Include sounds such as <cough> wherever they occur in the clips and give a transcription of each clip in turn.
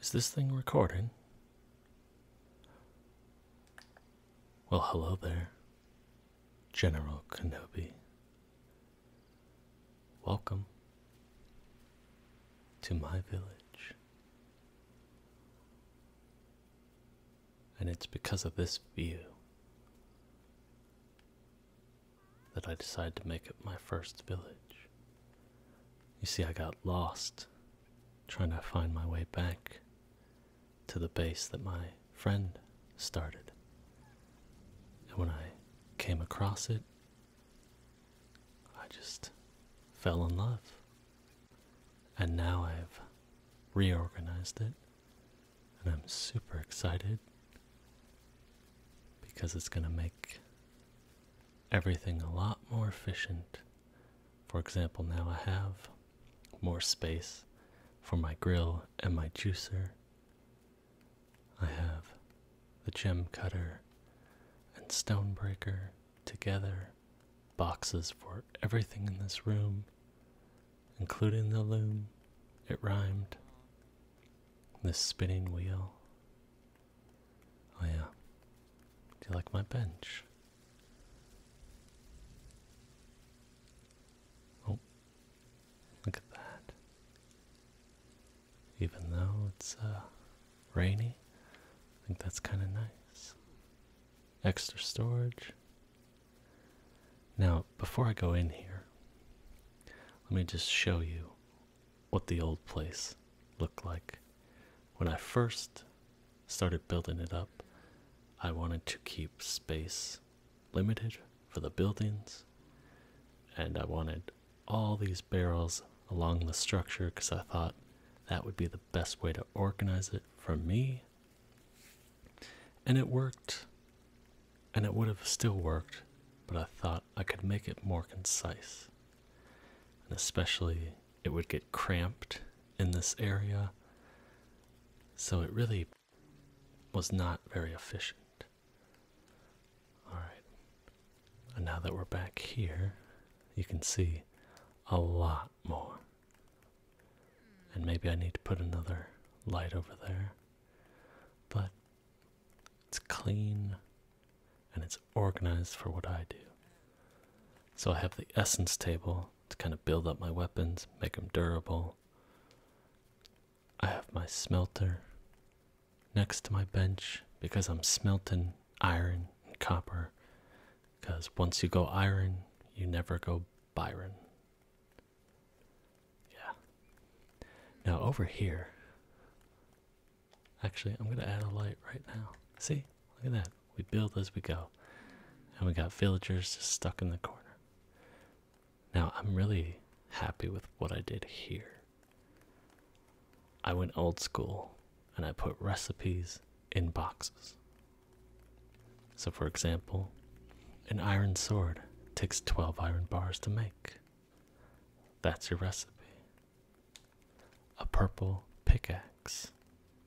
Is this thing recording? Well, hello there, General Kenobi. Welcome to my village. And it's because of this view that I decided to make it my first village. You see, I got lost trying to find my way back to the base that my friend started. And when I came across it, I just fell in love. And now I've reorganized it, and I'm super excited because it's going to make everything a lot more efficient. For example, now I have more space for my grill and my juicer. I have the gem cutter and stonebreaker together, boxes for everything in this room, including the loom. It rhymed. This spinning wheel Oh, yeah. Do you like my bench? Oh, look at that. Even though it's uh, rainy, I think that's kind of nice. Extra storage. Now, before I go in here, let me just show you what the old place looked like. When I first started building it up, I wanted to keep space limited for the buildings, and I wanted all these barrels along the structure because I thought that would be the best way to organize it for me. And it worked, and it would have still worked, but I thought I could make it more concise. And especially, it would get cramped in this area. So it really was not very efficient. Alright, and now that we're back here, you can see a lot more. And maybe I need to put another light over there. But it's clean and it's organized for what I do. So I have the essence table to kind of build up my weapons, make them durable. I have my smelter next to my bench because I'm smelting iron and copper. Because once you go iron, you never go Byron. Yeah. Now, over here, Actually, I'm going to add a light right now. See? Look at that. We build as we go. And we got villagers just stuck in the corner. Now, I'm really happy with what I did here. I went old school and I put recipes in boxes. So, for example, an iron sword takes 12 iron bars to make. That's your recipe. A purple pickaxe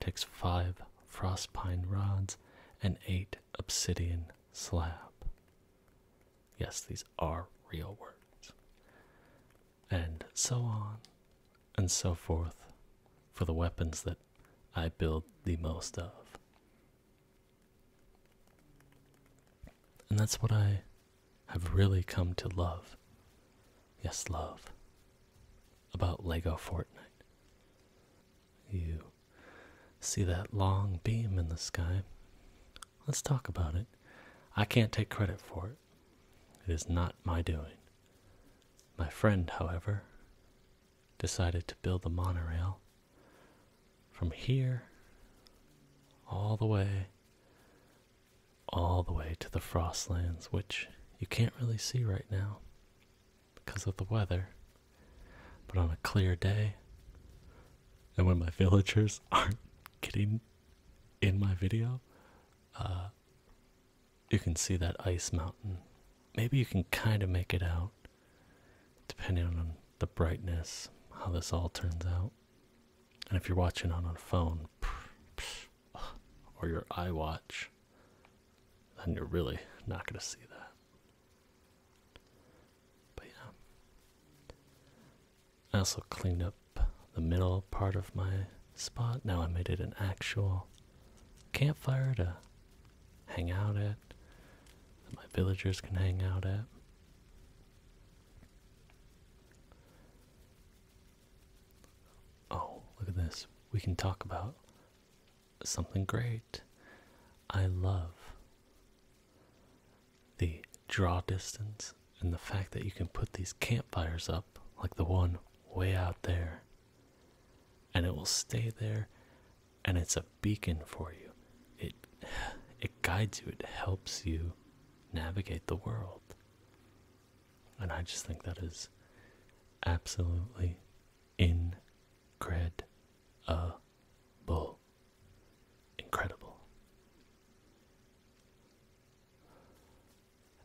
takes five frost pine rods and eight obsidian slab. Yes, these are real words. And so on and so forth for the weapons that I build the most of. And that's what I have really come to love, yes, love, about Lego Fortnite. You see that long beam in the sky? Let's talk about it. I can't take credit for it. It is not my doing. My friend, however, decided to build the monorail from here all the way all the way to the Frostlands, which you can't really see right now because of the weather. But on a clear day, and when my <laughs> villagers aren't getting in my video, uh, you can see that ice mountain. Maybe you can kind of make it out, depending on the brightness, how this all turns out. And if you're watching on a phone or your iWatch, then you're really not going to see that. But yeah. I also cleaned up the middle part of my spot. Now I made it an actual campfire to hang out at, that my villagers can hang out at. Oh, look at this. We can talk about something great. I love the draw distance and the fact that you can put these campfires up, like the one way out there, and it will stay there and it's a beacon for you. It <sighs> it guides you, it helps you navigate the world. And I just think that is absolutely incredible. Incredible.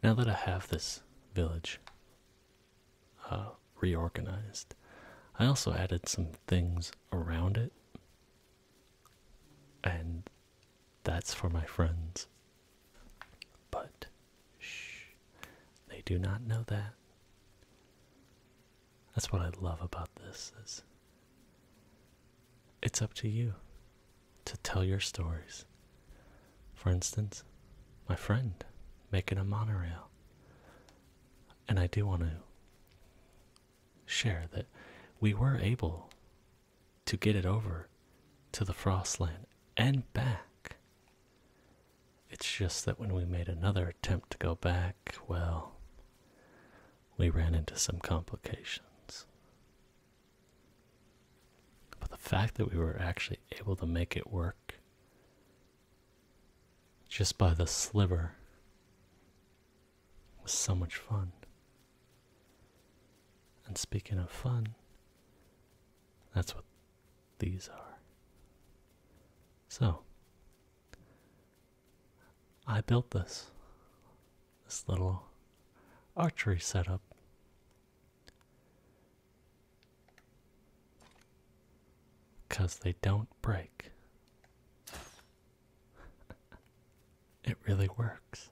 Now that I have this village uh, reorganized, I also added some things around it and that's for my friends. But, shh, they do not know that. That's what I love about this is it's up to you to tell your stories. For instance, my friend making a monorail. And I do want to share that we were able to get it over to the Frostland and back. It's just that when we made another attempt to go back, well, we ran into some complications. But the fact that we were actually able to make it work just by the sliver was so much fun. And speaking of fun, that's what these are. So, I built this, this little archery setup. Because they don't break. <laughs> it really works.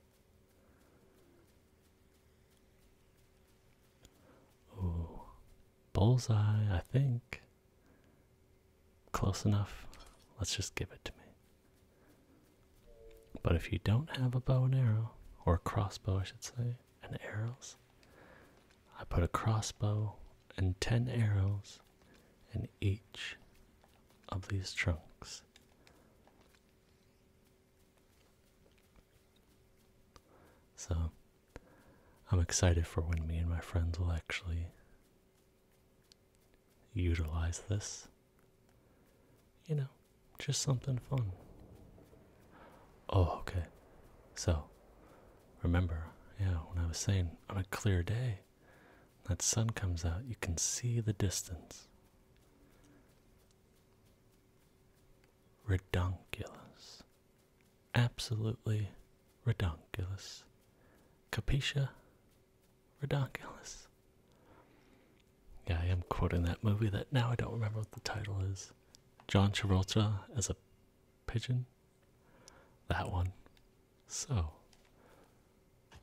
Oh, bullseye, I think. Close enough. Let's just give it to me. But if you don't have a bow and arrow, or a crossbow, I should say, and arrows, I put a crossbow and 10 arrows in each of these trunks so I'm excited for when me and my friends will actually utilize this. You know, just something fun. Oh, okay. So, remember, yeah, when I was saying on a clear day, that sun comes out, you can see the distance. Redonkulous. Absolutely redonkulous. Capitia redonkulous. Yeah, I am quoting that movie that now I don't remember what the title is. John Travolta as a pigeon? That one. So,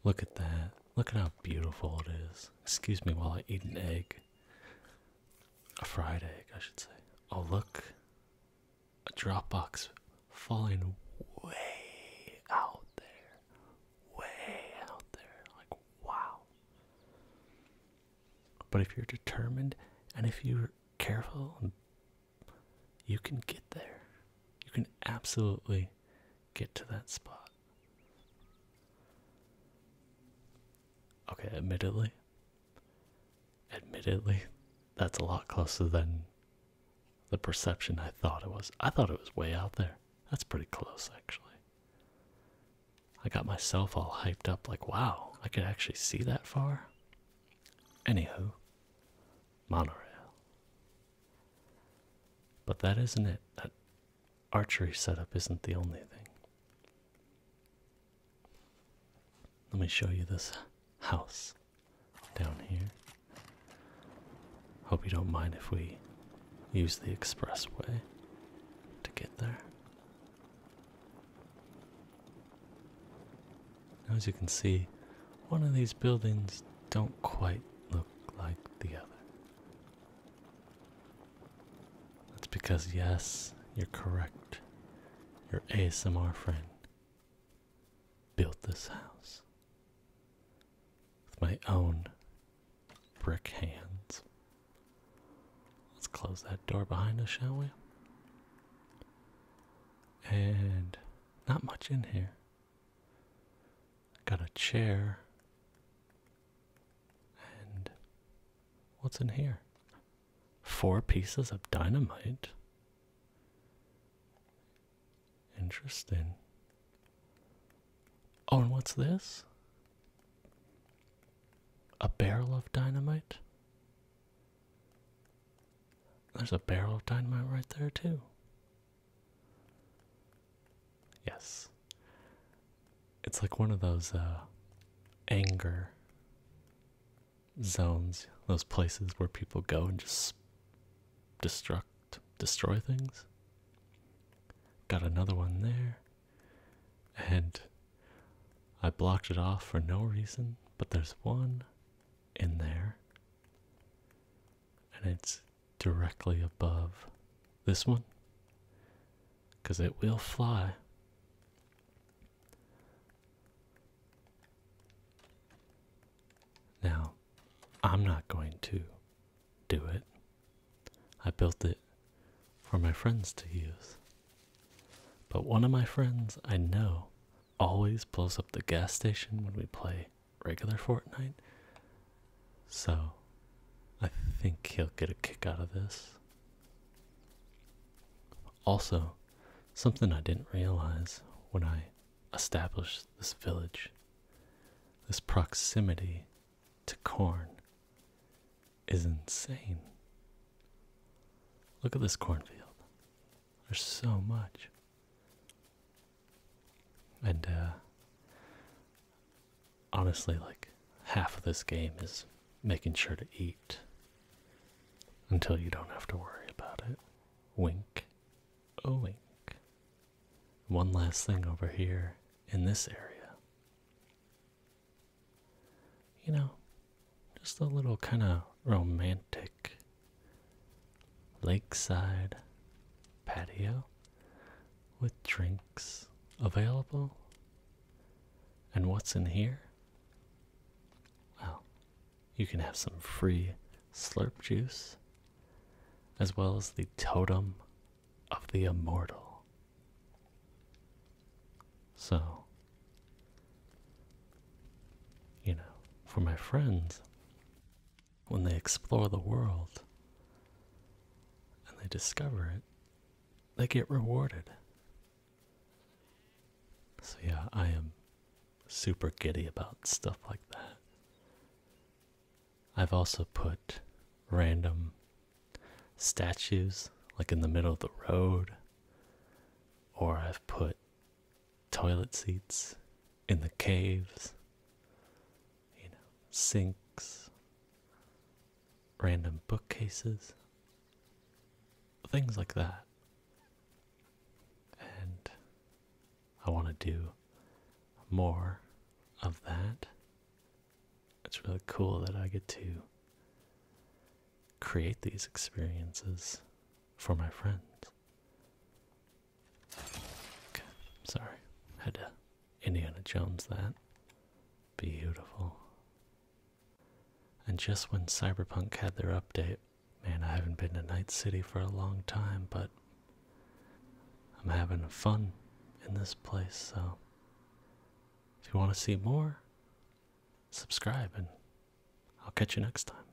look at that. Look at how beautiful it is. Excuse me while I eat an egg. A fried egg, I should say. Oh, look. A Dropbox falling way out there. Way out there. Like, wow. But if you're determined and if you're careful, you can get there. You can absolutely get to that spot. Okay, admittedly, admittedly, that's a lot closer than the perception I thought it was. I thought it was way out there. That's pretty close, actually. I got myself all hyped up, like, wow, I could actually see that far. Anywho, monorail. But that isn't it. That archery setup isn't the only thing. Let me show you this house down here. Hope you don't mind if we use the expressway to get there. Now, as you can see, one of these buildings don't quite look like the other. That's because, yes, you're correct. Your ASMR friend built this house with my own brick hands. Let's close that door behind us, shall we? And not much in here. Got a chair. And what's in here? Four pieces of dynamite. Interesting. Oh, and what's this? A barrel of dynamite? There's a barrel of dynamite right there, too. Yes. It's like one of those uh, anger zones, those places where people go and just destruct, destroy things. Got another one there. And I blocked it off for no reason, but there's one in there and it's directly above this one because it will fly. Now, I'm not going to do it. I built it for my friends to use. But one of my friends I know always blows up the gas station when we play regular Fortnite. So I think he'll get a kick out of this. Also, something I didn't realize when I established this village, this proximity to corn is insane. Look at this cornfield. There's so much. And uh, honestly like half of this game is making sure to eat until you don't have to worry about it. Wink. Oh wink. One last thing over here in this area. You know, just a little kind of romantic lakeside patio with drinks available. And what's in here? Well, you can have some free slurp juice as well as the totem of the immortal. So, you know, for my friends when they explore the world and they discover it, they get rewarded. So, yeah, I am super giddy about stuff like that. I've also put random statues like in the middle of the road, or I've put toilet seats in the caves, you know, sinks, random bookcases, things like that. And I want to do more of that. It's really cool that I get to create these experiences for my friends. Okay, sorry. Had to Indiana Jones that. Beautiful. And just when Cyberpunk had their update, man, I haven't been to Night City for a long time, but I'm having fun in this place, so if you want to see more, subscribe, and I'll catch you next time.